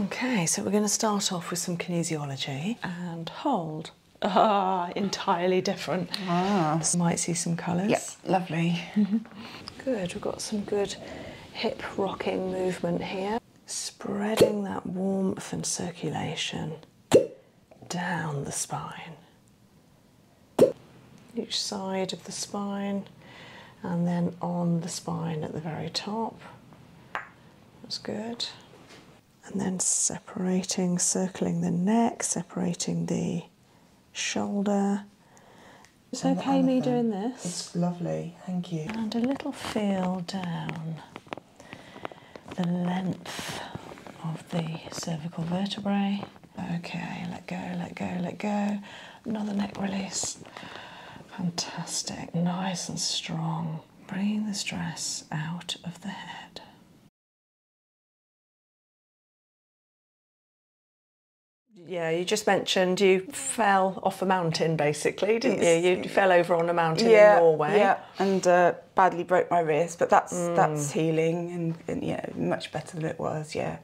Okay, so we're going to start off with some kinesiology and hold. Ah, entirely different. Ah. Might see some colours. Yep, lovely. Mm-hmm. good, we've got some good hip rocking movement here. Spreading that warmth and circulation down the spine. Each side of the spine and then on the spine at the very top. That's good. And then separating, circling the neck, separating the shoulder. It's and okay me doing this? It's lovely, thank you. And a little feel down the length of the cervical vertebrae. Okay, let go, let go, let go. Another neck release. Fantastic, nice and strong. Bringing the stress out of the head. Yeah, you just mentioned you fell off a mountain basically, didn't you? You fell over on a mountain in Norway. and uh, badly broke my wrist, but that's mm. that's healing and, and yeah, much better than it was. Yeah,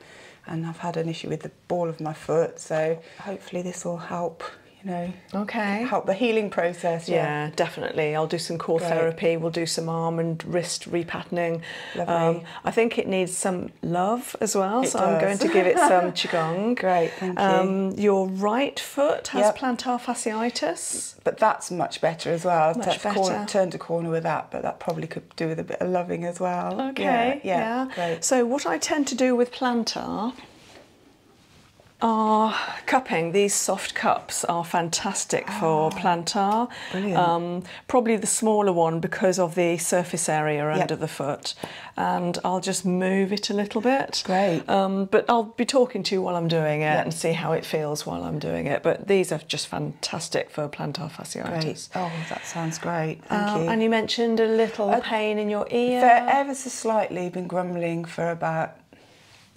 and I've had an issue with the ball of my foot, so hopefully this will help you know. Okay. Help the healing process. Yeah, definitely. I'll do some core therapy. We'll do some arm and wrist repatterning. Lovely. Um, I think it needs some love as well, so I'm going to give it some qigong. Great, thank you. Um, your right foot has plantar fasciitis, but that's much better as well. Much that's better. turned a corner with that, but that probably could do with a bit of loving as well. Okay. Yeah. yeah. Great. So what I tend to do with plantar our cupping, these soft cups are fantastic for ah, plantar. Um, probably the smaller one because of the surface area under the foot. And I'll just move it a little bit. Great. Um, but I'll be talking to you while I'm doing it and see how it feels while I'm doing it. But these are just fantastic for plantar fasciitis. Oh, that sounds great. Thank uh, you. And you mentioned a little pain in your ear slightly, been grumbling for about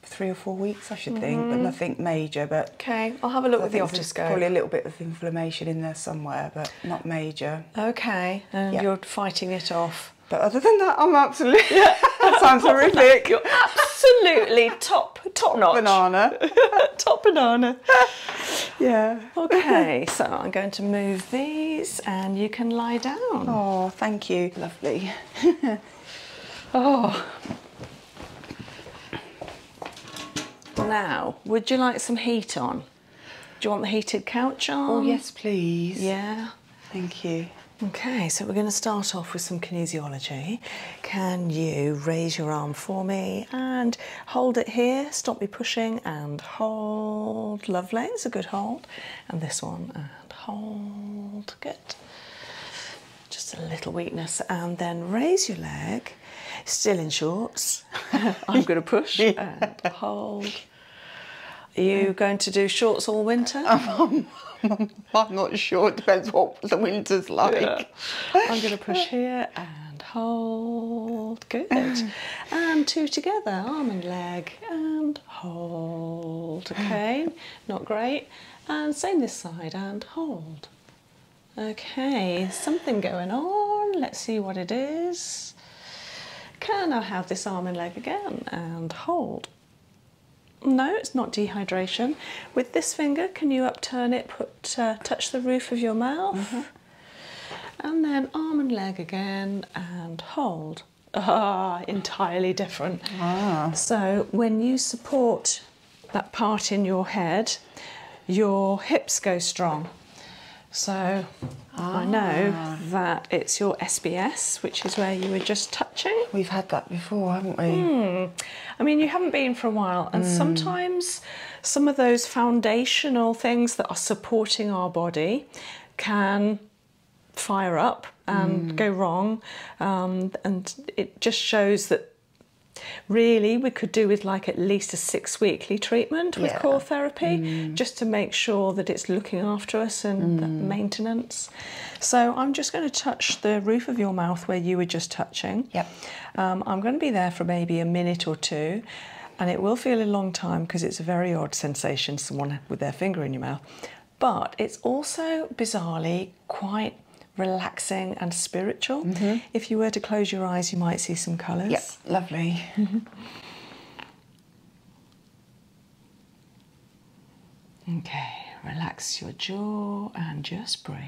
three or four weeks, I should think, but mm. nothing major. But okay, I'll have a look I with the otoscope. Probably a little bit of inflammation in there somewhere, but not major. Okay, you're fighting it off. But other than that, I'm absolutely. that sounds horrific. You're absolutely top top notch. Banana. top banana. yeah. Okay, so I'm going to move these, and you can lie down. Oh. Oh, thank you. Lovely. oh. Now, would you like some heat on? Do you want the heated couch on? Oh, yes, please. Yeah. Thank you. Okay, so we're going to start off with some kinesiology. Can you raise your arm for me and hold it here? Stop me pushing and hold. Lovely, it's a good hold. And this one uh, hold. Good. Just a little weakness, and then raise your leg. Still in shorts. I'm going to push yeah. and hold. you going to do shorts all winter? I'm, not sure. It depends what the winter's like. I'm going to push here and hold. Good. and two together, arm and leg, and hold. Okay, not great. And same this side and hold. Okay, something going on. Let's see what it is. Can I have this arm and leg again and hold? No, it's not dehydration. With this finger, can you upturn it, put, uh, touch the roof of your mouth? Mm-hmm. And then arm and leg again and hold ah, entirely different. Ah. So when you support that part in your head, your hips go strong. So I know ah. that it's your SBS, which is where you were just touching. We've had that before, haven't we? Hmm. I mean, you haven't been for a while, and hmm. sometimes some of those foundational things that are supporting our body can fire up and mm. go wrong. Um, and it just shows that really we could do with like at least a six weekly treatment with core therapy mm. just to make sure that it's looking after us and mm. maintenance. So I'm just going to touch the roof of your mouth where you were just touching. Yep. Um, I'm going to be there for maybe a minute or two. And it will feel a long time because it's a very odd sensation, someone with their finger in your mouth but it's also bizarrely quite relaxing and spiritual. Mm-hmm. If you were to close your eyes, you might see some colours. Yep, lovely. Mm-hmm. okay, relax your jaw and just breathe.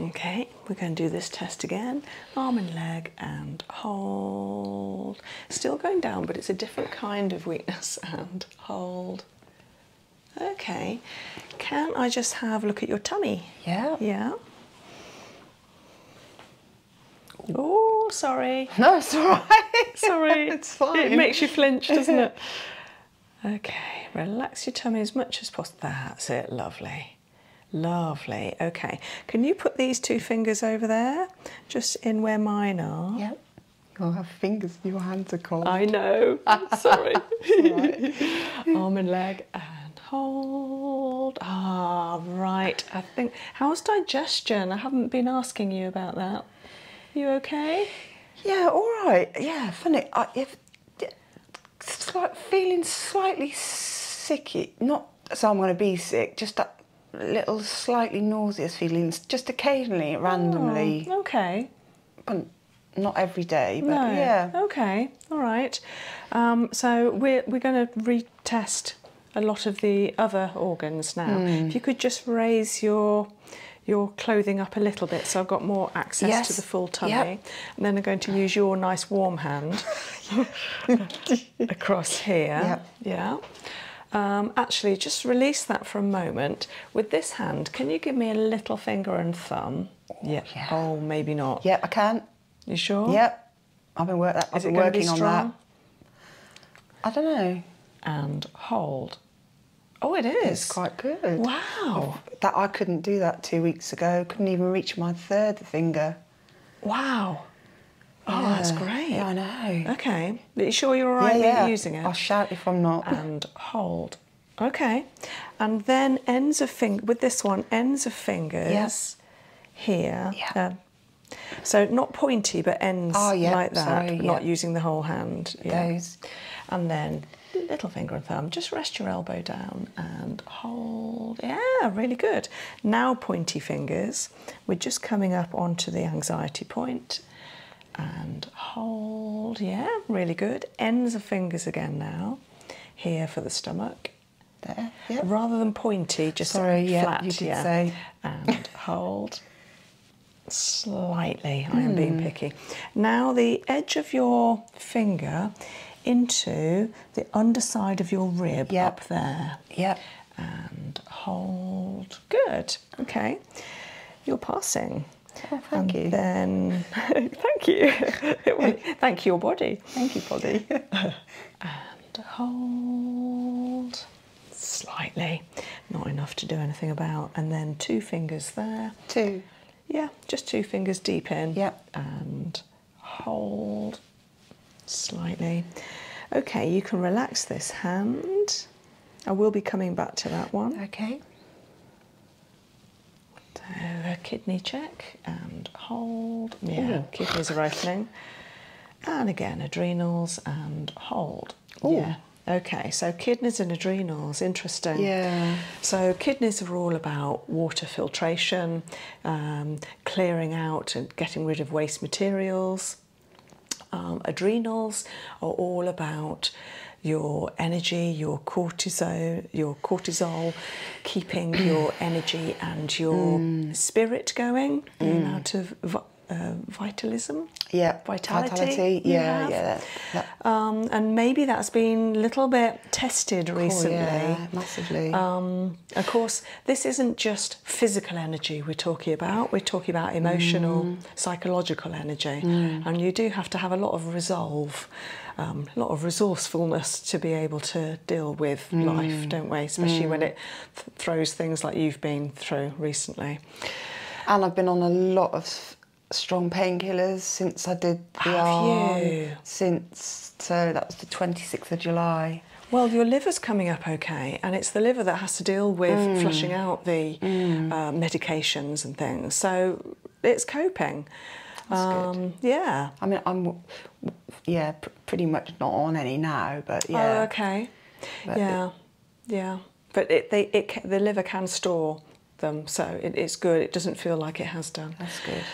Okay, we're going to do this test again. Arm and leg and hold. Still going down, but it's a different kind of weakness and hold. Okay, can I just have a look at your tummy? Yeah. Yeah. Oh, sorry. No, it's all right. Sorry. it's fine. It makes you flinch, doesn't it? Okay, relax your tummy as much as possible. That's it, lovely. Lovely. Okay, can you put these two fingers over there, just in where mine are? Yep. You'll have fingers, your hands are cold. I know. Sorry. Arm and leg and hold. Ah, right. I think. How's digestion? I haven't been asking you about that. You okay? Yeah, all right. Yeah, funny. I, if, slight, feeling slightly sicky. Not so I'm going to be sick. Just that little slightly nauseous feelings, just occasionally, randomly. Oh, okay. But not every day. But no. yeah. Okay all right. Um, so we're, we're going to retest a lot of the other organs now. If hmm. you could just raise your your clothing up a little bit so I've got more access to the full tummy. And then I'm going to use your nice warm hand across here. Yeah. Um, actually, just release that for a moment. With this hand, can you give me a little finger and thumb? yeah. Oh, maybe not. Yeah, I can. You sure? Yep. I've been, work that, I've been working on that. I don't know. And hold. Oh, it is. quite good. Wow. That I couldn't do that two weeks ago. Couldn't even reach my third finger. Wow. Oh, that's great. I know. Okay. Are you sure you're all right yeah, using it? I'll shout if I'm not. And hold. Okay. And then ends of finger with this one, ends of fingers. Yes here. Yeah. Um, so not pointy, but ends oh, like that, not using the whole hand. Those. And then little finger and thumb, just rest your elbow down and hold. Yeah, really good. Now pointy fingers. We're just coming up onto the anxiety point and hold. Yeah, really good. Ends of fingers again now. Here for the stomach there, Rather than pointy, just Sorry, yeah, flat. yeah. say. And hold. Slightly, I am being hmm. picky. Now the edge of your finger into the underside of your rib up there. Yep. And hold. Good. Okay. You're passing. Oh, thank you. Then, thank you. thank your body. Thank you, body and hold slightly, not enough to do anything about, and then two fingers there. Two. Yeah, just two fingers deep in. Yep. And hold slightly. Okay, you can relax this hand. I will be coming back to that one. Okay. So a kidney check and hold. Yeah, kidneys are opening. And again, adrenals and hold. Ooh. Yeah. Okay, so kidneys and adrenals, interesting. Yeah. So kidneys are all about water filtration, um, clearing out and getting rid of waste materials. Um, adrenals are all about your energy, your cortisol, your cortisol, keeping your energy and your mm. spirit going, the amount mm. of uh, vitalism, yeah, vitality, yeah, yeah, um, and maybe that's been a little bit tested recently, yeah, massively. Um, of course, this isn't just physical energy we're talking about; we're talking about emotional, mm. psychological energy, and you do have to have a lot of resolve. a um, lot of resourcefulness to be able to deal with mm. life, don't we? Especially when mm. it throws things like you've been through recently. And I've been on a lot of strong painkillers since I did the Have You? Since so that was the 26th of July. Well, your liver's coming up okay, and it's the liver that has to deal with mm. flushing out the uh, medications and things. So it's coping. Um, yeah. I mean, I'm yeah pretty much not on any now, but oh, yeah. Oh, okay. yeah, yeah. But they, it, the liver can store them, so it's good. It doesn't feel like it has done. That's good.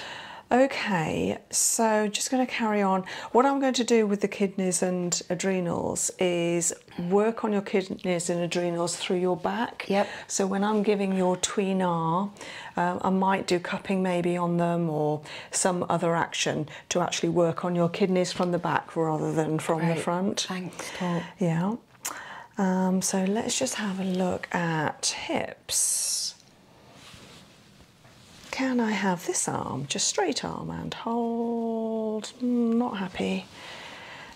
Okay, so just going to carry on. What I'm going to do with the kidneys and adrenals is work on your kidneys and adrenals through your back. Yep. So when I'm giving your tween um, I might do cupping maybe on them or some other action to actually work on your kidneys from the back rather than from the front. Thanks, Paul. Yeah. Um, so let's just have a look at hips. Can I have this arm? Just straight arm and hold. Mm, not happy.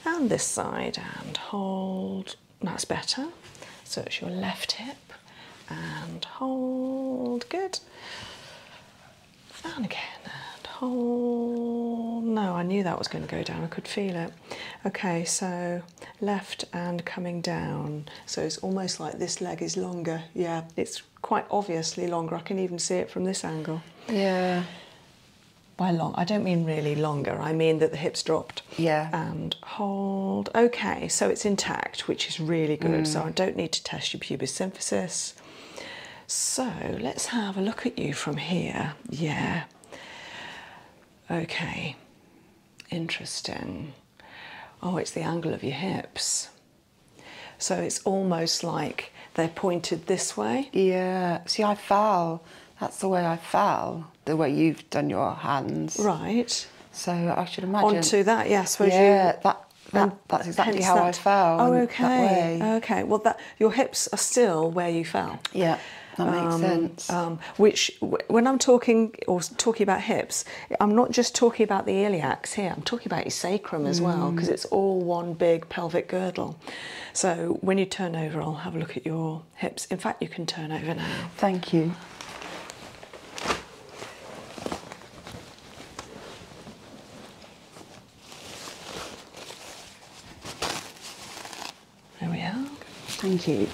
And this side and hold. That's better. So it's your left hip and hold. Good. Down again and hold. No, I knew that was going to go down. I could feel it. Okay, so left and coming down. So it's almost like this leg is longer. Yeah, it's quite obviously longer. I can even see it from this angle. Yeah. By long, I don't mean really longer. I mean that the hips dropped. Yeah. And hold. Okay, so it's intact, which is really good. So mm. I don't need to test your pubis symphysis. So let's have a look at you from here. Yeah. Okay. Interesting. Oh, it's the angle of your hips. So it's almost like they're pointed this way. Yeah. See, I fell. That's the way I fell. The way you've done your hands. Right. So I should imagine. Onto that, yes. Yeah, that, that's exactly how that. I fell. Oh, okay. Okay. Well, that your hips are still where you fell. Yeah. That makes um, sense. Um, which, when I'm talking or talking about hips, I'm not just talking about the iliacs here. I'm talking about your sacrum as well because mm. it's all one big pelvic girdle. So when you turn over, I'll have a look at your hips. In fact, you can turn over now. Thank you. There we are. Thank you.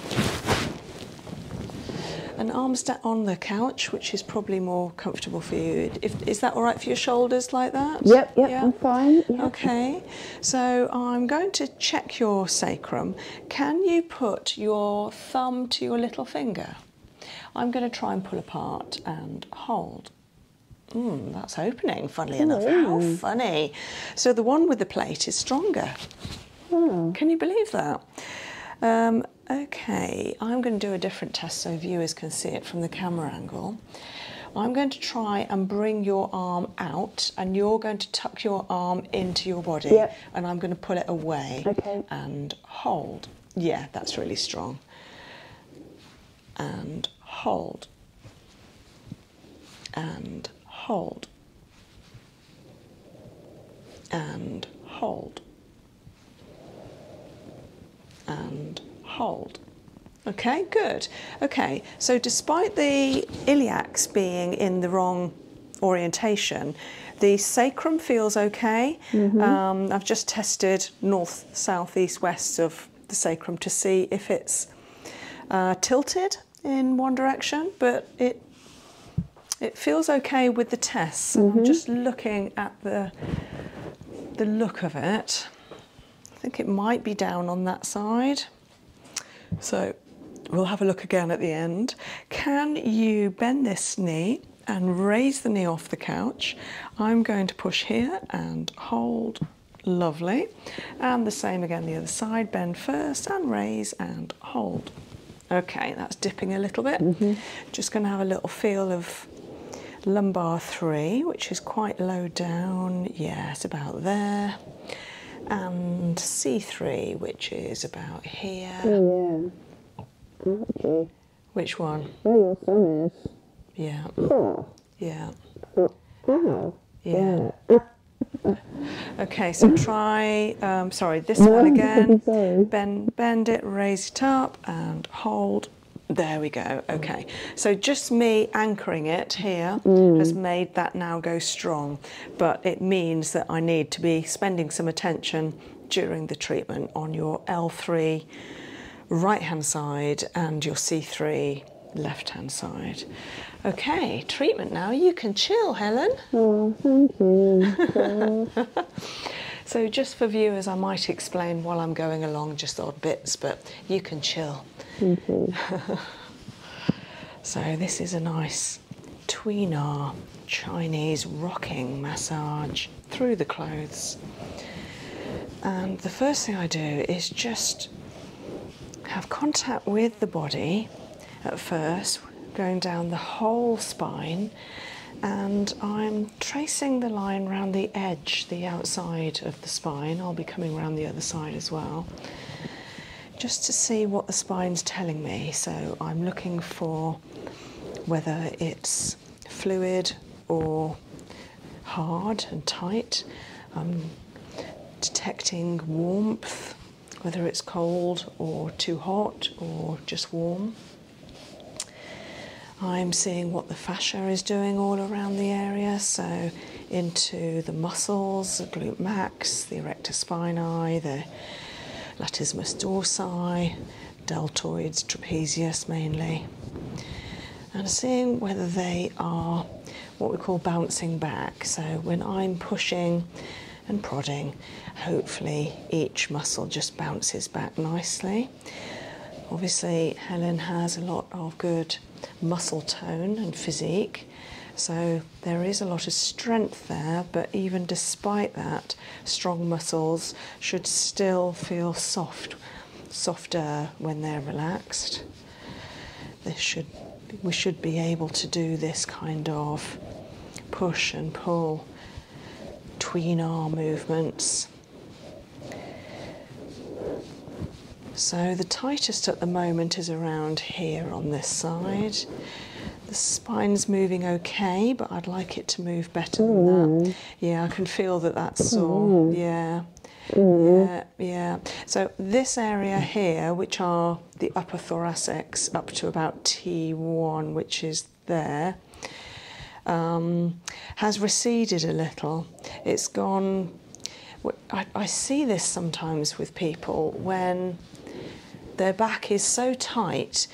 An arm's on the couch, which is probably more comfortable for you. is that all right for your shoulders like that? Yep, yep, yeah. I'm fine. Okay, so I'm going to check your sacrum. Can you put your thumb to your little finger? I'm going to try and pull apart and hold. Hmm, that's opening, funnily enough. How funny. So the one with the plate is stronger. Hmm. Can you believe that? Um, okay, I'm going to do a different test so viewers can see it from the camera angle. I'm going to try and bring your arm out and you're going to tuck your arm into your body and I'm going to pull it away okay. and hold. Yeah, that's really strong. And hold. And hold. And hold. And hold. Okay, good. Okay, so despite the iliacs being in the wrong orientation. The sacrum feels okay. Mm-hmm. Um, I've just tested north, south, east, west of the sacrum to see if it's uh, tilted in one direction, but it it feels okay with the tests. Mm-hmm. just looking at the the look of it. I think it might be down on that side. So we'll have a look again at the end. Can you bend this knee and raise the knee off the couch. I'm going to push here and hold. Lovely. And the same again the other side. Bend first and raise and hold. Okay, that's dipping a little bit. Mm-hmm. Just going to have a little feel of lumbar three, which is quite low down. Yes, about there. And C3, which is about here. Oh, yeah. Okay. Which one? Yeah. Yeah. Yeah. okay, so try, um, sorry, this one again. Bend, bend it, raise it up, and hold. There we go. Okay. So just me anchoring it here has made that now go strong, but it means that I need to be spending some attention during the treatment on your L3 right hand side and your C3 left hand side. Okay, treatment now. You can chill, Helen. Oh, so, just for viewers, I might explain while I'm going along just odd bits, but you can chill. so, this is a nice tweener Chinese rocking massage through the clothes. And the first thing I do is just have contact with the body at first, going down the whole spine, and I'm tracing the line around the edge, the outside of the spine. I'll be coming around the other side as well, just to see what the spine's telling me. So I'm looking for whether it's fluid or hard and tight. Um, detecting warmth, whether it's cold or too hot or just warm. I'm seeing what the fascia is doing all around the area, so into the muscles, the glute max, the erector spinae, the latissimus dorsi, deltoids, trapezius mainly, and seeing whether they are what we call bouncing back. So when I'm pushing and prodding, hopefully each muscle just bounces back nicely. Obviously, Helen has a lot of good muscle tone and physique, so there is a lot of strength there, but even despite that, strong muscles should still feel soft, softer when they're relaxed. we should be able to do this kind of push and pull, between arm movements. So the tightest at the moment is around here on this side spine's moving okay, but I'd like it to move better than that. Mm. Yeah, I can feel that that's sore. Mm. Yeah. Mm. Yeah, yeah. So this area here, which are the upper thoracics up to about T1, which is there, um, has receded a little. It's gone. I see this sometimes with people when their back is so tight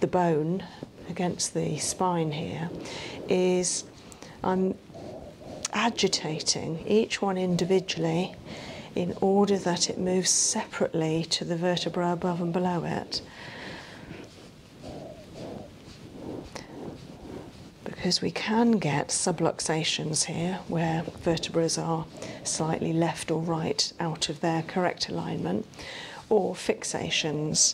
the bone against the spine here is I'm um, agitating each one individually in order that it moves separately to the vertebra above and below it. Because we can get subluxations here where vertebrae are slightly left or right out of their correct alignment, or fixations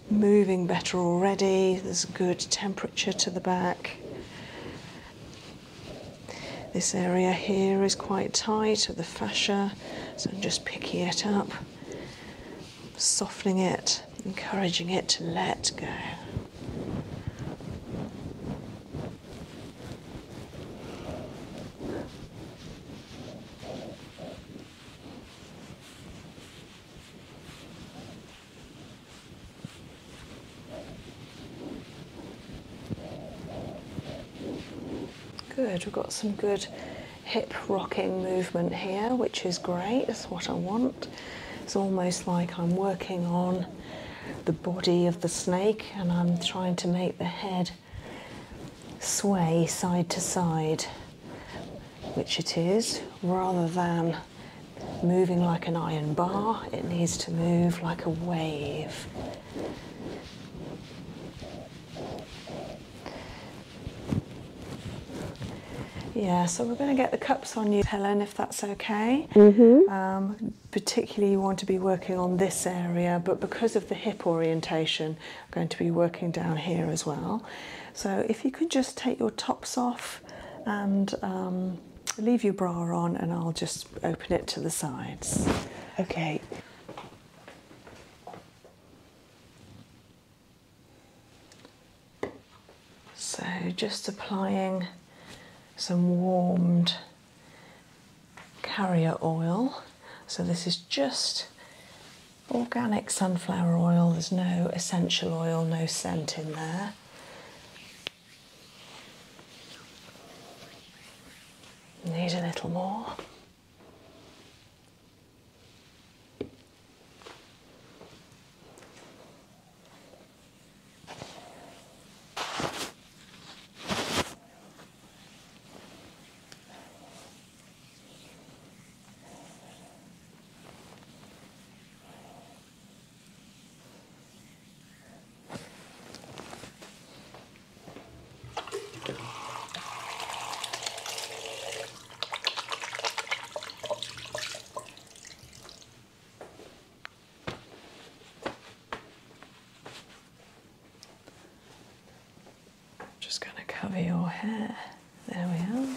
moving better already. There's good temperature to the back. This area here is quite tight of the fascia, so I'm just picking it up, softening it, encouraging it to let go. Good, we've got some good hip rocking movement here, which is great, That's what I want. It's almost like I'm working on the body of the snake and I'm trying to make the head sway side to side which it is, rather than moving like an iron bar, it needs to move like a wave. Yeah, so we're going to get the cups on you, Helen, if that's okay. Mm-hmm. Um, particularly, you want to be working on this area, but because of the hip orientation, I'm going to be working down here as well. So, if you could just take your tops off and um, leave your bra on, and I'll just open it to the sides. Okay. So, just applying some warmed carrier oil. So, this is just organic sunflower oil, there's no essential oil, no scent in there. Need a little more. Just going to cover your hair. There we are.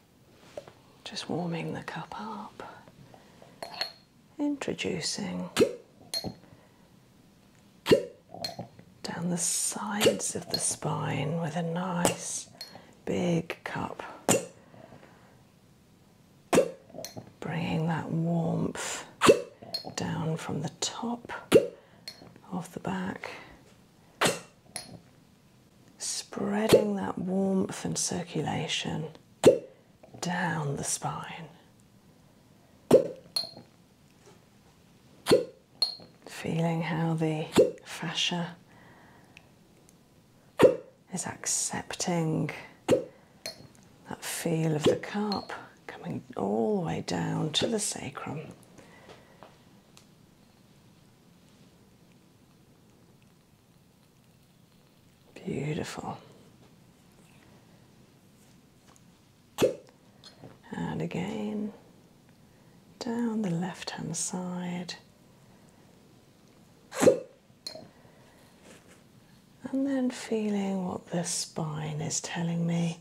Just warming the cup up, introducing down the sides of the spine with a nice big cup, bringing that warmth down from the top of the back Spreading that warmth and circulation down the spine. Feeling how the fascia is accepting that feel of the cup coming all the way down to the sacrum. Beautiful. And again, down the left hand side. And then feeling what the spine is telling me.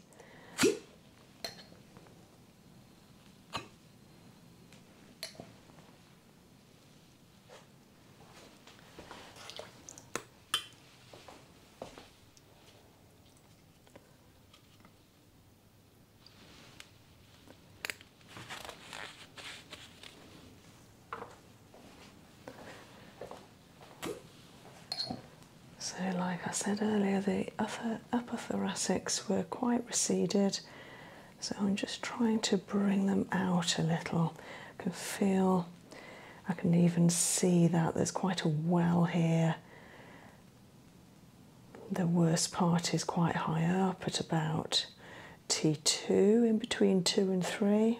So, like I said earlier, the upper, upper thoracics were quite receded so I'm just trying to bring them out a little. I can feel, I can even see that there's quite a well here. The worst part is quite high up at about T2, in between 2 and 3.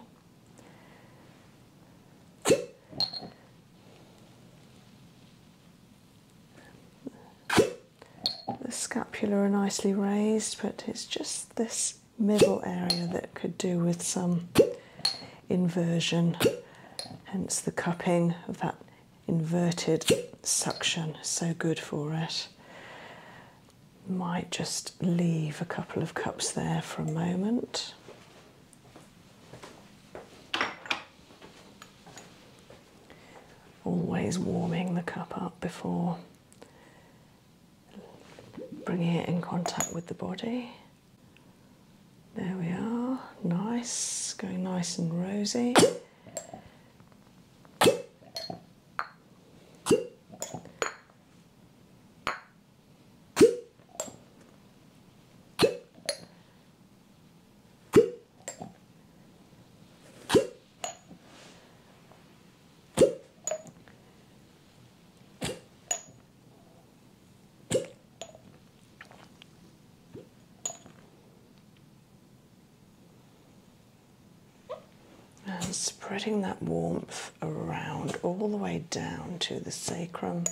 The scapula are nicely raised, but it's just this middle area that could do with some inversion, hence the cupping of that inverted suction, so good for it. Might just leave a couple of cups there for a moment. Always warming the cup up before Bringing it in contact with the body. There we are, nice, going nice and rosy. And spreading that warmth around all the way down to the sacrum.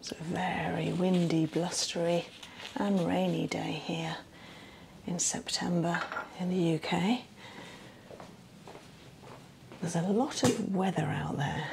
It's a very windy, blustery, and rainy day here in September in the UK. There's a lot of weather out there.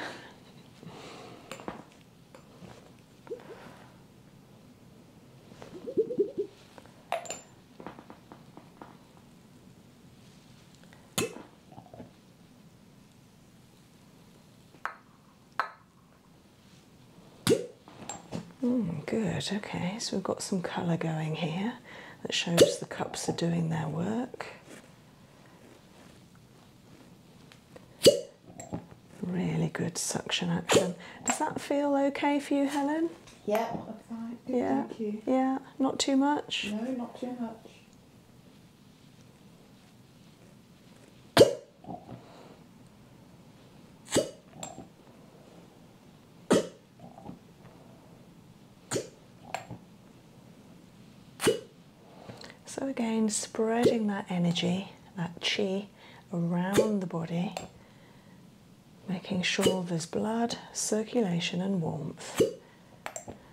Hmm, good, okay, so we've got some colour going here that shows the cups are doing their work. Really good suction action. Does that feel okay for you, Helen? Yeah, yeah. Thank you. Yeah, not too much? No, not too much. So again, spreading that energy, that chi, around the body, making sure there's blood, circulation and warmth.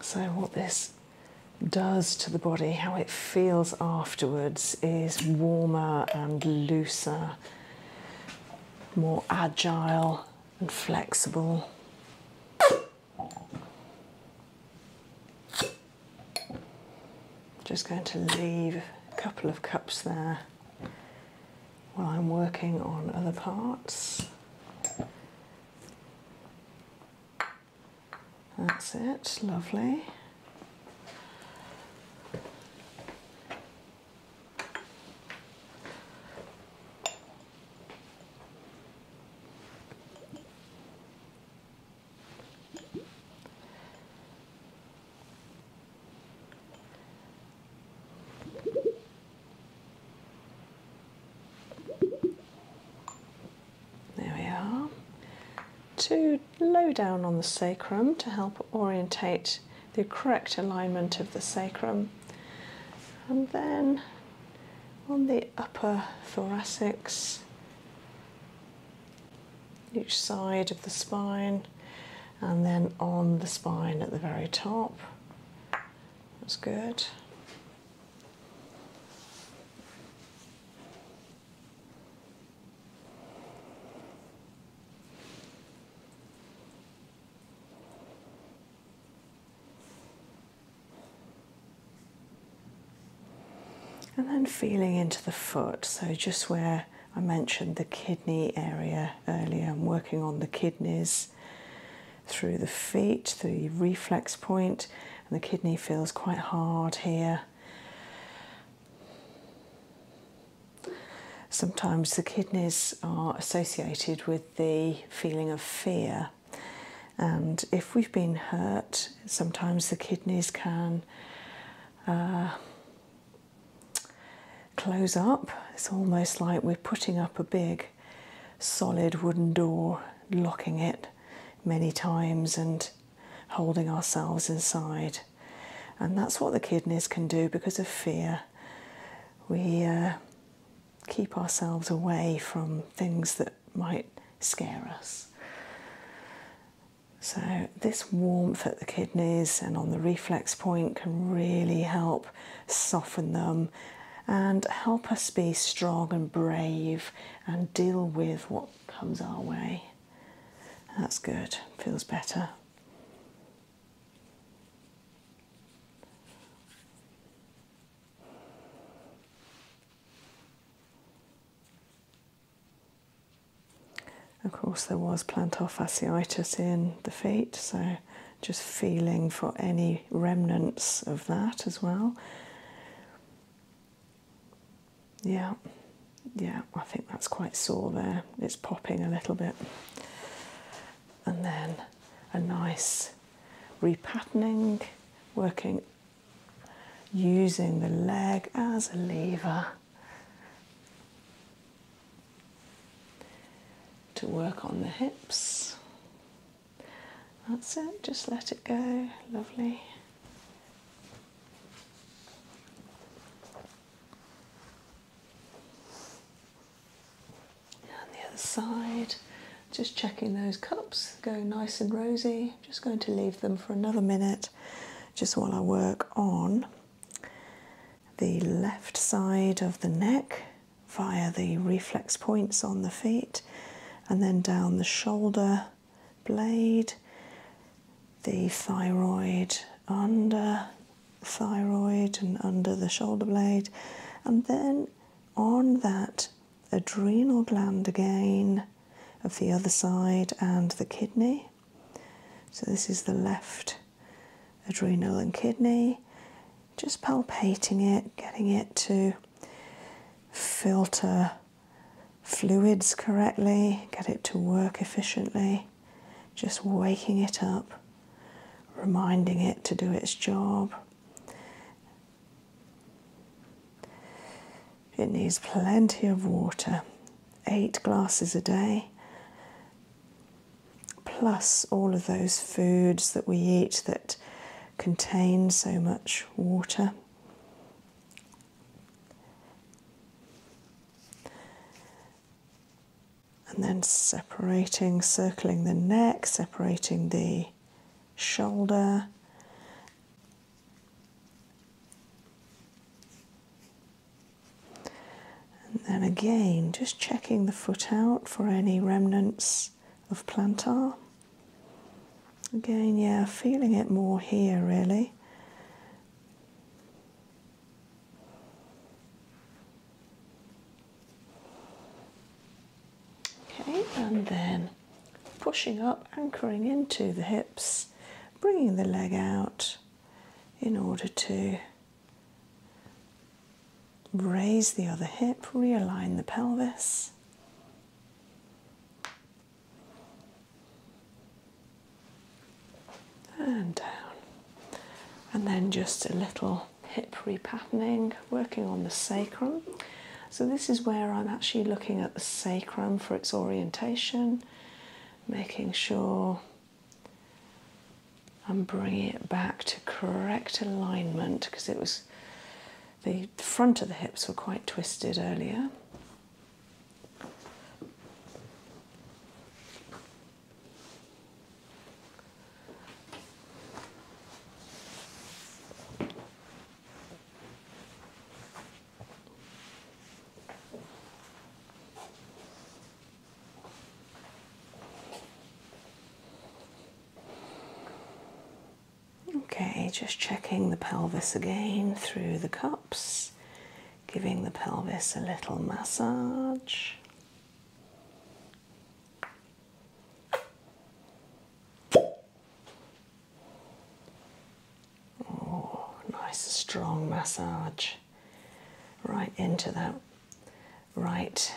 So, what this does to the body, how it feels afterwards, is warmer and looser, more agile and flexible. Just going to leave a couple of cups there while I'm working on other parts. That's it, lovely. There we are. Two low down on the sacrum to help orientate the correct alignment of the sacrum. And then on the upper thoracics, each side of the spine, and then on the spine at the very top. That's good. And then feeling into the foot, so just where I mentioned the kidney area earlier, I'm working on the kidneys through the feet, through the reflex point, and the kidney feels quite hard here. Sometimes the kidneys are associated with the feeling of fear, and if we've been hurt, sometimes the kidneys can uh, close up. It's almost like we're putting up a big solid wooden door, locking it many times and holding ourselves inside. And that's what the kidneys can do because of fear. We uh, keep ourselves away from things that might scare us. So, this warmth at the kidneys and on the reflex point can really help soften them and help us be strong and brave and deal with what comes our way. That's good, feels better. Of course, there was plantar fasciitis in the feet, so just feeling for any remnants of that as well. Yeah, yeah, I think that's quite sore there. It's popping a little bit. And then a nice repatterning, working using the leg as a lever to work on the hips. That's it, just let it go, lovely and the other side. Just checking those cups, go nice and rosy. Just going to leave them for another minute just while I work on the left side of the neck via the reflex points on the feet and then down the shoulder blade, the thyroid under the thyroid and under the shoulder blade and then on that adrenal gland again of the other side and the kidney. So, this is the left adrenal and kidney, just palpating it, getting it to filter fluids correctly, get it to work efficiently, just waking it up, reminding it to do its job. It needs plenty of water, eight glasses a day, plus all of those foods that we eat that contain so much water. And then separating, circling the neck, separating the shoulder. And then again, just checking the foot out for any remnants of plantar. Again, yeah, feeling it more here really. Okay, and then pushing up, anchoring into the hips, bringing the leg out in order to raise the other hip, realign the pelvis. And down, and then just a little hip repatterning working on the sacrum. So, this is where I'm actually looking at the sacrum for its orientation, making sure I'm bringing it back to correct alignment because it was the front of the hips were quite twisted earlier. Okay, just checking the pelvis again through the cups, giving the pelvis a little massage. Oh, nice strong massage right into that right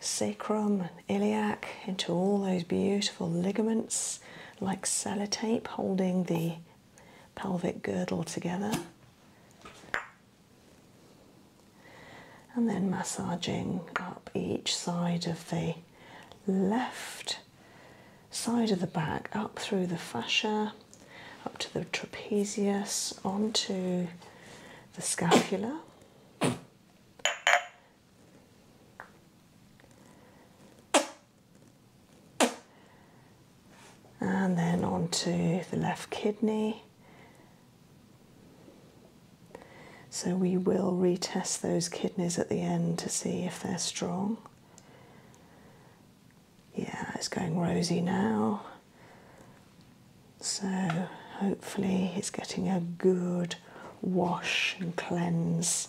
sacrum and iliac, into all those beautiful ligaments like sellotape holding the pelvic girdle together. And then massaging up each side of the left side of the back up through the fascia, up to the trapezius, onto the scapula. And then onto the left kidney, so we will retest those kidneys at the end to see if they're strong. Yeah, it's going rosy now. So hopefully it's getting a good wash and cleanse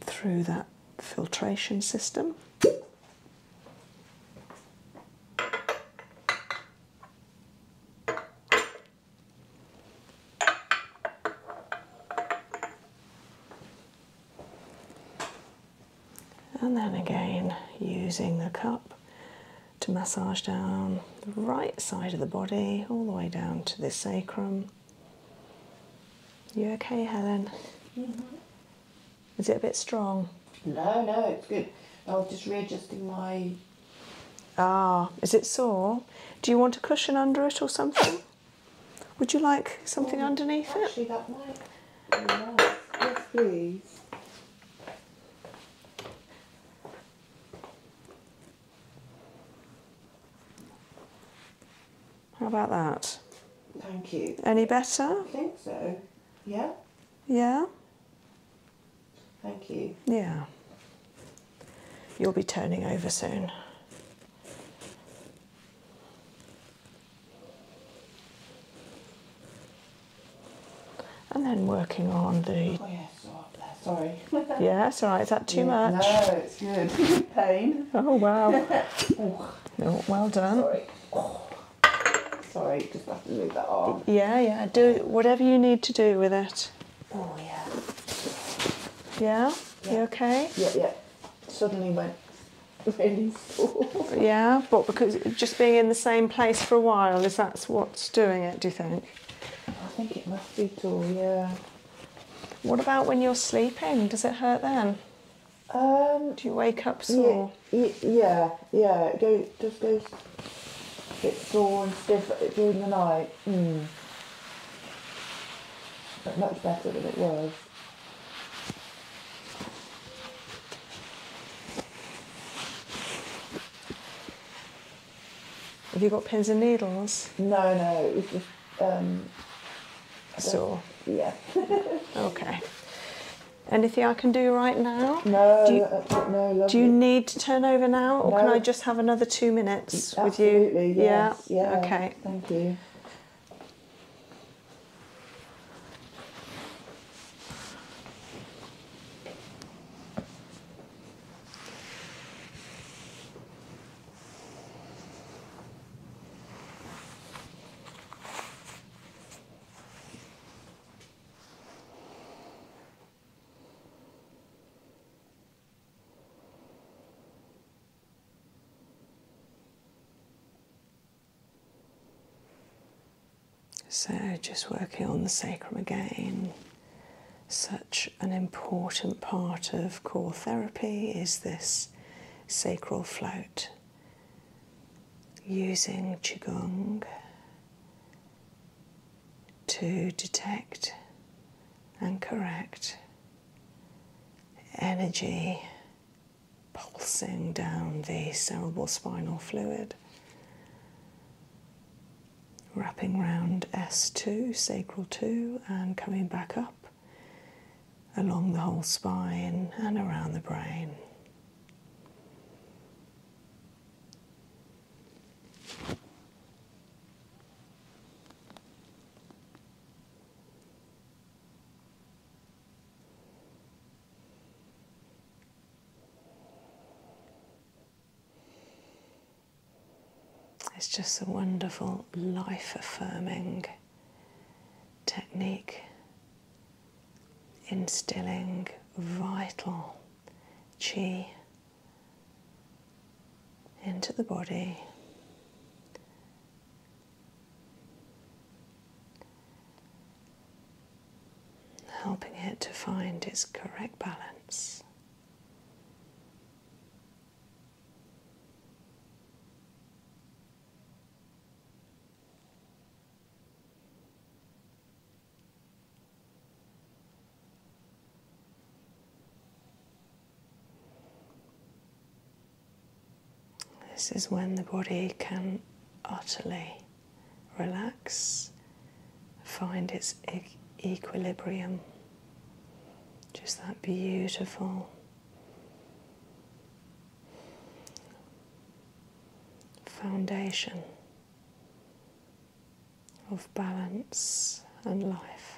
through that filtration system. And then again, using the cup to massage down the right side of the body, all the way down to the sacrum. You okay, Helen? -hmm. Is it a bit strong? No, no, it's good. I was just readjusting my Ah, is it sore? Do you want a cushion under it or something? Would you like something underneath it? Actually, that might be Yes, please. How about that? Thank you. Any better? I think so. Yeah. Yeah. Thank you. Yeah. You'll be turning over soon. And then working on the. Oh, oh yeah, sorry. yeah, it's all right. Is that too much? No, it's good. Pain. Oh, wow. well done. Sorry. Sorry, just have to move that arm. Yeah, yeah, do whatever you need to do with it. Oh yeah. Yeah? You okay? Yeah, yeah. Suddenly went really sore. yeah, but because just being in the same place for a while is that's what's doing it, do you think? I think it must be dull, yeah. What about when you're sleeping? Does it hurt then? Um, do you wake up sore? Yeah, yeah, yeah. go, just go. It's sore and stiff during the night. Mm. But much better than it was. Have you got pins and needles? No, no, it um, sore. Yeah. okay. Anything I can do right now? No, do you, need to turn over now, or can I just? just have another two minutes with you? yeah. Yeah. Okay. Thank you. So, just working on the sacrum again. Such an important part of core therapy is this sacral float using Qigong to detect and correct energy pulsing down the cerebral spinal fluid, wrapping round S2, sacral 2, and coming back up along the whole spine and around the brain. It's just a wonderful life affirming technique, instilling vital chi into the body. Helping it to find its correct balance. This is when the body can utterly relax, find its equilibrium, just that beautiful foundation of balance and life.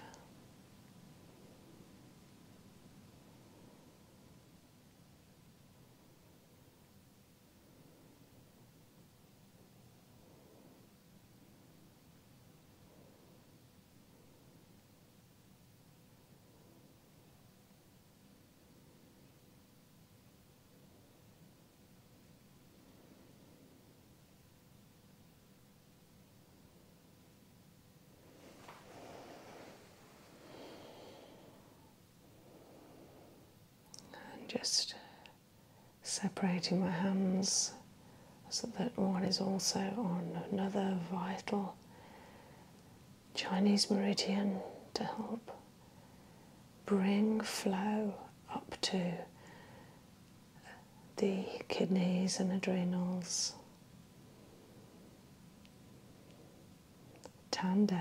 And just separating my hands so that one is also on another vital Chinese meridian to help bring flow up to the kidneys and adrenals. tandem.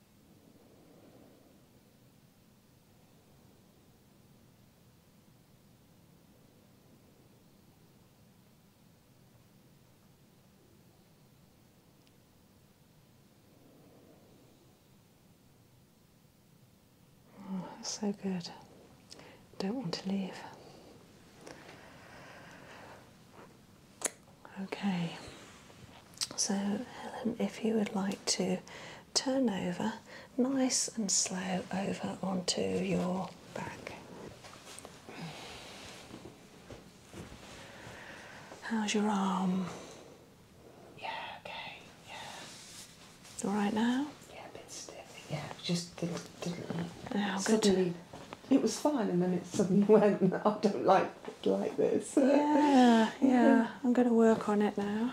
Oh, that's so good. Don't want to leave. Okay, so, Helen, if you would like to turn over nice and slow over onto your back. How's your arm? Yeah, okay, All right now? Yeah, a bit stiff. Yeah, just didn't, it? Oh, suddenly, it was fine, and then it suddenly went. I don't like like this. Yeah, yeah. I'm going to work on it now.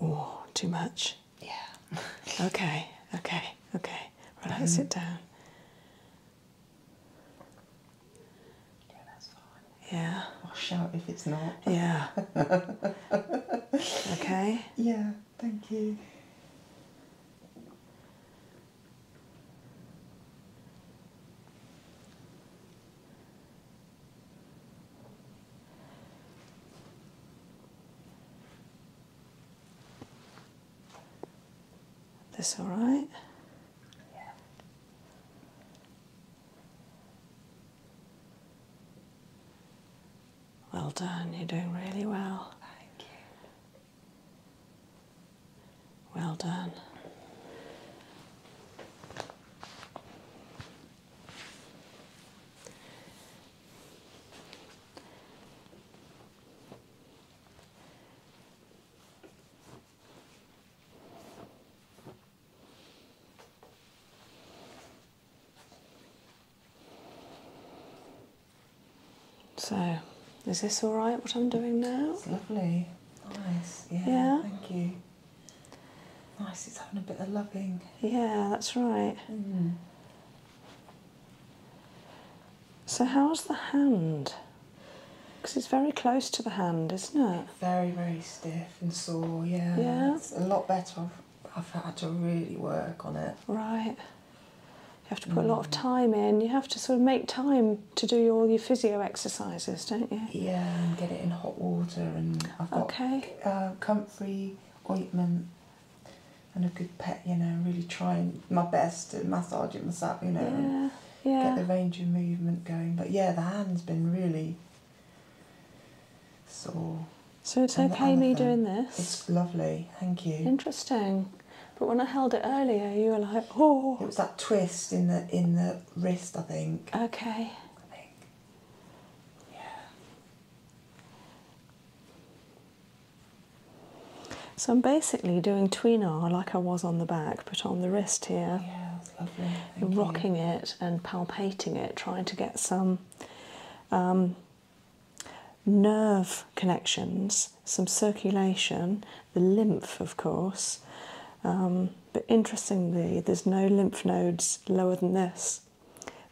Oh, too much? Yeah. okay, okay, okay. Relax mm -hmm. it down. Yeah, that's fine. Yeah. I'll shout if it's not. Yeah. okay. Yeah thank you. This all right? Well done, you're doing really well. Thank you. Well done. So, is this all right? What I'm doing now? It's lovely. Nice. Yeah. Thank you. Nice. It's having a bit of loving. Yeah, that's right. Mm. So, how's the hand? Because it's very close to the hand, isn't it? Very, very stiff and sore. Yeah. Yeah. It's a lot better. I've, I've had to really work on it. Right. You have to put a lot of mm. time in. You have to sort of make time to do all your physio exercises, don't you? Yeah, and get it in hot water. And I've got okay. Uh, comfrey ointment and a good pet, you know, really trying my best to massage it myself, you know, yeah, yeah. get the range of movement going. But yeah, the hand's been really sore. So it's okay me doing this? It's lovely, thank you. Interesting. But when I held it earlier, you were like, oh. It was that twist in the in the wrist, I think. Okay. I think. Yeah. So I'm basically doing tweener like I was on the back, but on the wrist here. Yeah, lovely. rocking it and palpating it, trying to get some um, nerve connections, some circulation, the lymph, of course. Um, but interestingly, there's no lymph nodes lower than this.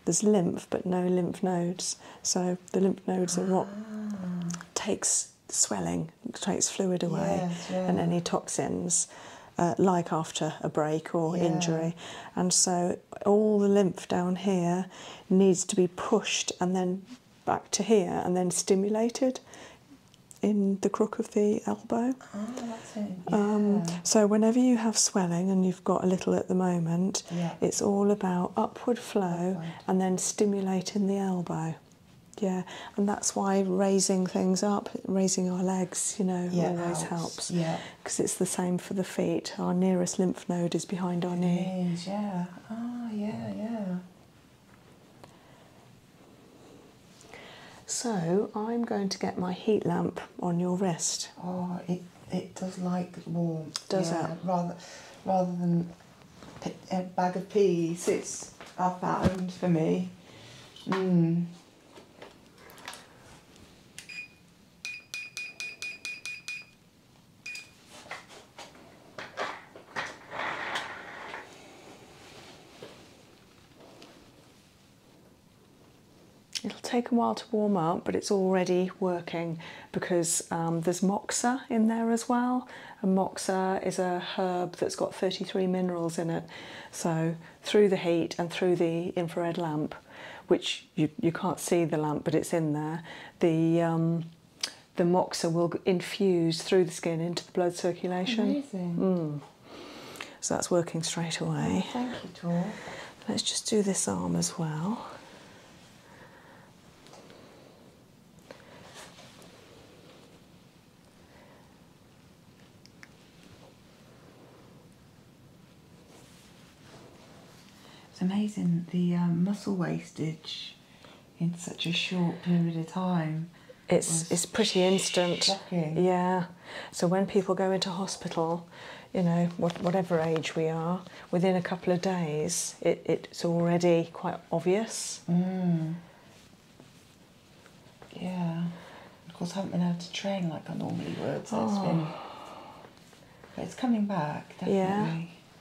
There's lymph, but no lymph nodes. So the lymph nodes are what ah. takes swelling, takes fluid away, and any toxins. Uh, like after a break or injury. And so all the lymph down here needs to be pushed and then back to here and then stimulated in the crook of the elbow. Ah, um, so whenever you have swelling, and you've got a little at the moment, it's all about upward flow and then stimulating the elbow. Yeah, and that's why raising things up, raising our legs, you know, always helps. Yeah, because it's the same for the feet. Our nearest lymph node is behind our knee. Knees, yeah. Oh, yeah, yeah. So I'm going to get my heat lamp on your wrist. Oh, it it does like warmth. Does it? Rather, rather than a bag of peas, it's I found for me. Hmm. It'll take a while to warm up, but it's already working because um, there's moxa in there as well. moxa is a herb that's got 33 minerals in it. So, through the heat and through the infrared lamp, which you, you can't see the lamp, but it's in there, the, um, the moxa will infuse through the skin into the blood circulation. Amazing. Mm. So that's working straight away. Oh, thank you, Tor. Let's just do this arm as well. It's amazing the um, muscle wastage in such a short period of time. It's it's pretty instant. Yeah. So when people go into hospital, you know, whatever age we are, within a couple of days, it's already quite obvious. Mm. Yeah. Of course, I haven't been able to train like I normally would, so it's oh. been. But it's coming back, Yeah.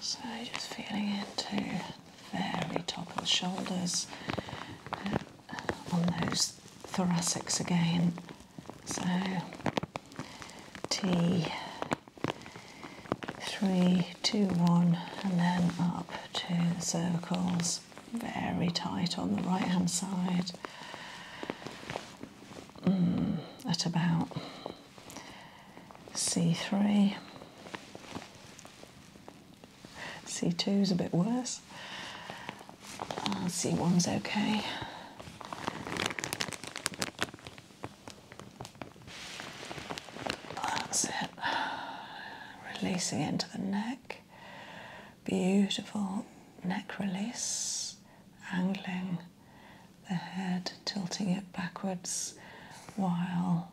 So just feeling into the very top of the shoulders uh, on those thoracics again. So T three, two, one, and then up to the cervicals very tight on the right hand side mm, at about C3. C2 is a bit worse. Uh, C1's okay. That's it releasing into the neck. Beautiful neck release, angling the head, tilting it backwards while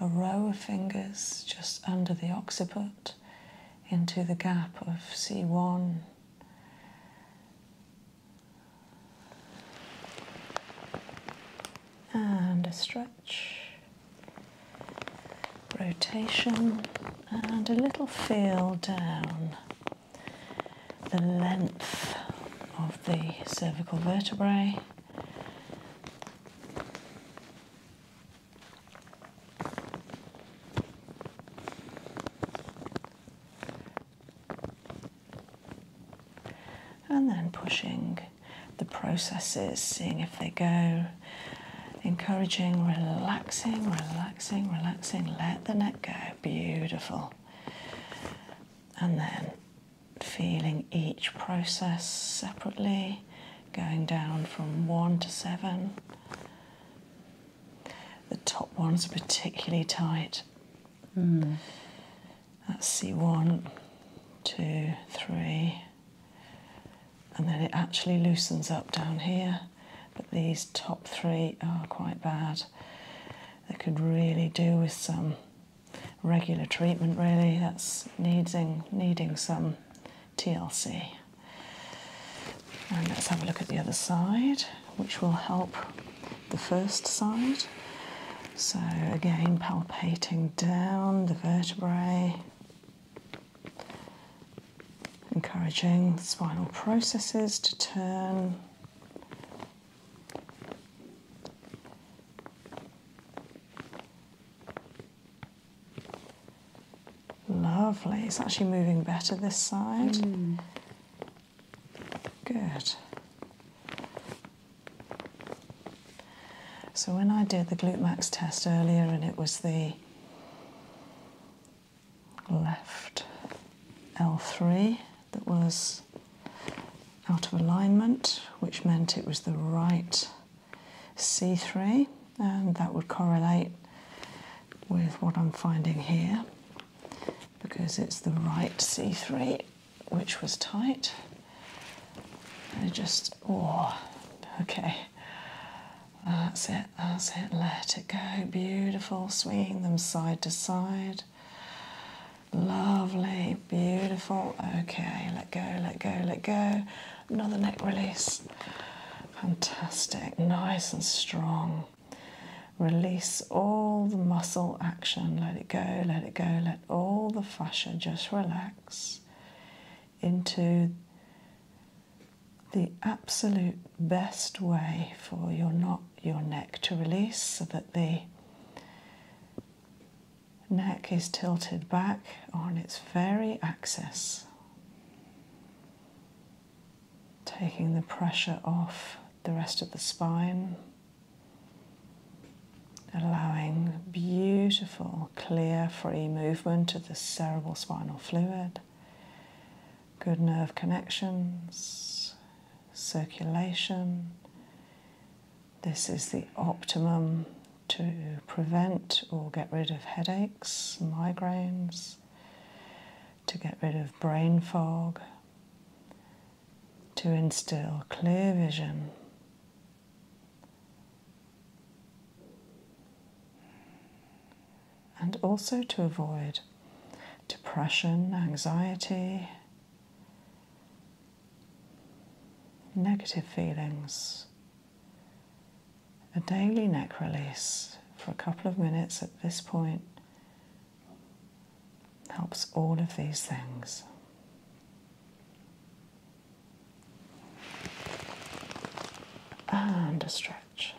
a row of fingers just under the occiput into the gap of C1. And a stretch rotation and a little feel down the length of the cervical vertebrae. And then pushing the processes, seeing if they go. Encouraging, relaxing, relaxing, relaxing. Let the neck go. Beautiful. And then feeling each process separately, going down from one to seven. The top ones are particularly tight. Mm. Let's see one, two, three, and then it actually loosens up down here. But these top three are quite bad. They could really do with some regular treatment. Really, that's needing needing some TLC. And let's have a look at the other side, which will help the first side. So again, palpating down the vertebrae encouraging spinal processes to turn. Lovely, it's actually moving better this side. Hmm. Good. So when I did the glutemax test earlier and it was the left L3 that was out of alignment, which meant it was the right C3 and that would correlate with what I'm finding here because it's the right C3 which was tight. just, oh, okay. Uh, that's it, that's it. Let it go. Beautiful. Swinging them side to side. Lovely, beautiful. Okay, let go, let go, let go. Another neck release. Fantastic, nice and strong. Release all the muscle action. Let it go, let it go, let all the fascia just relax into the absolute best way for your not your neck to release so that the neck is tilted back on its very axis taking the pressure off the rest of the spine allowing beautiful clear, free movement of the cerebral spinal fluid, good nerve connections, circulation. This is the optimum to prevent or get rid of headaches, migraines, to get rid of brain fog, to instill clear vision and also to avoid depression, anxiety, negative feelings. A daily neck release for a couple of minutes at this point helps all of these things and a stretch.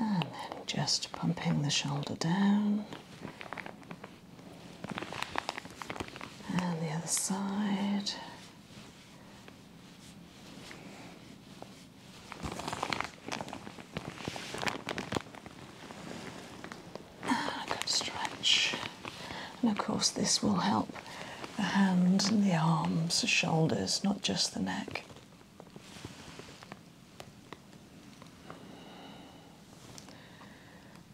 And then just pumping the shoulder down. And the other side. Ah, good stretch. And of course, this will help the hands and the arms, the shoulders, not just the neck.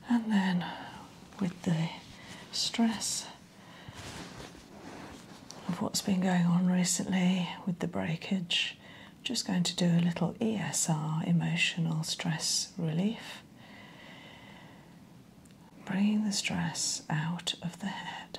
And then with the stress of what's been going on recently with the breakage, just going to do a little ESR, emotional stress relief. Bringing the stress out of the head.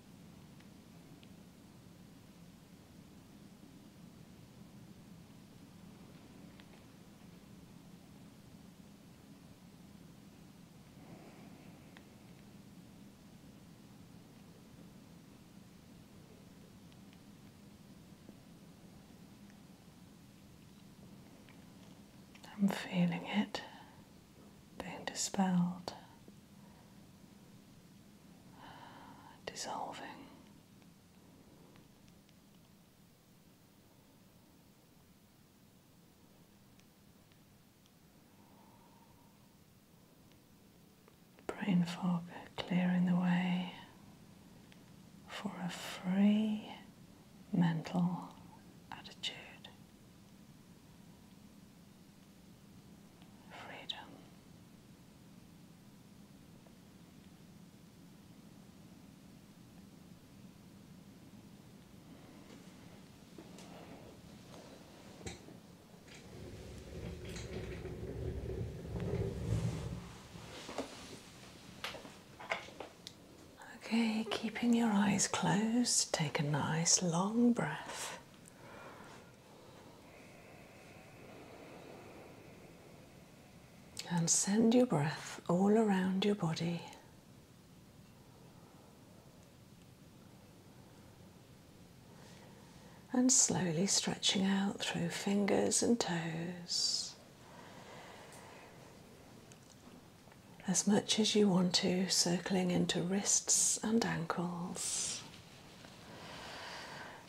I'm feeling it being dispelled, dissolving. Brain fog clearing the way for a free mental attitude freedom. Okay, keeping your eyes closed, take a nice long breath and send your breath all around your body. And slowly stretching out through fingers and toes as much as you want to, circling into wrists and ankles.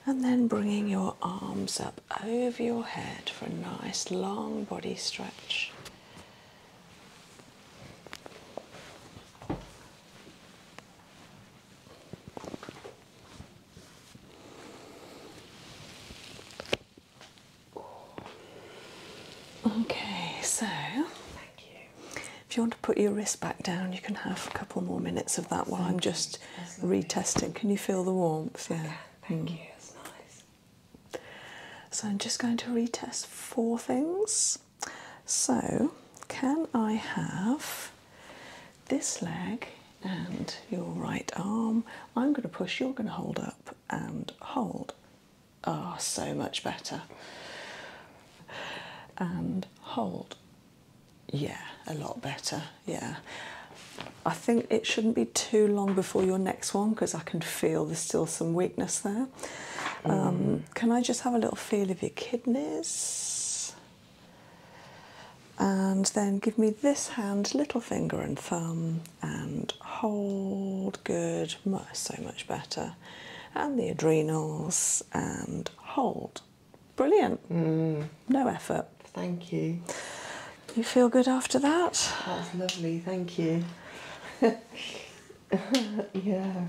And then bringing your arms up over your head for a nice long body stretch. Okay, so thank you. If you want to put your wrist back down, you can have a couple more minutes of that while I'm just retesting. Can you feel the warmth? Yeah. thank hmm. you. It's nice. So I'm just going to retest four things. So can I have this leg and your right arm? I'm going to push. You're going to hold up and hold. Ah, oh, so much better. And hold. Yeah, a lot better. Yeah. I think it shouldn't be too long before your next one because I can feel there's still some weakness there. Um, mm. can I just have a little feel of your kidneys? And then give me this hand, little finger and thumb, and hold. Good, so much better and the adrenals and hold. Brilliant. Mm. No effort. Thank you. You feel good after that? That's lovely, thank you. yeah.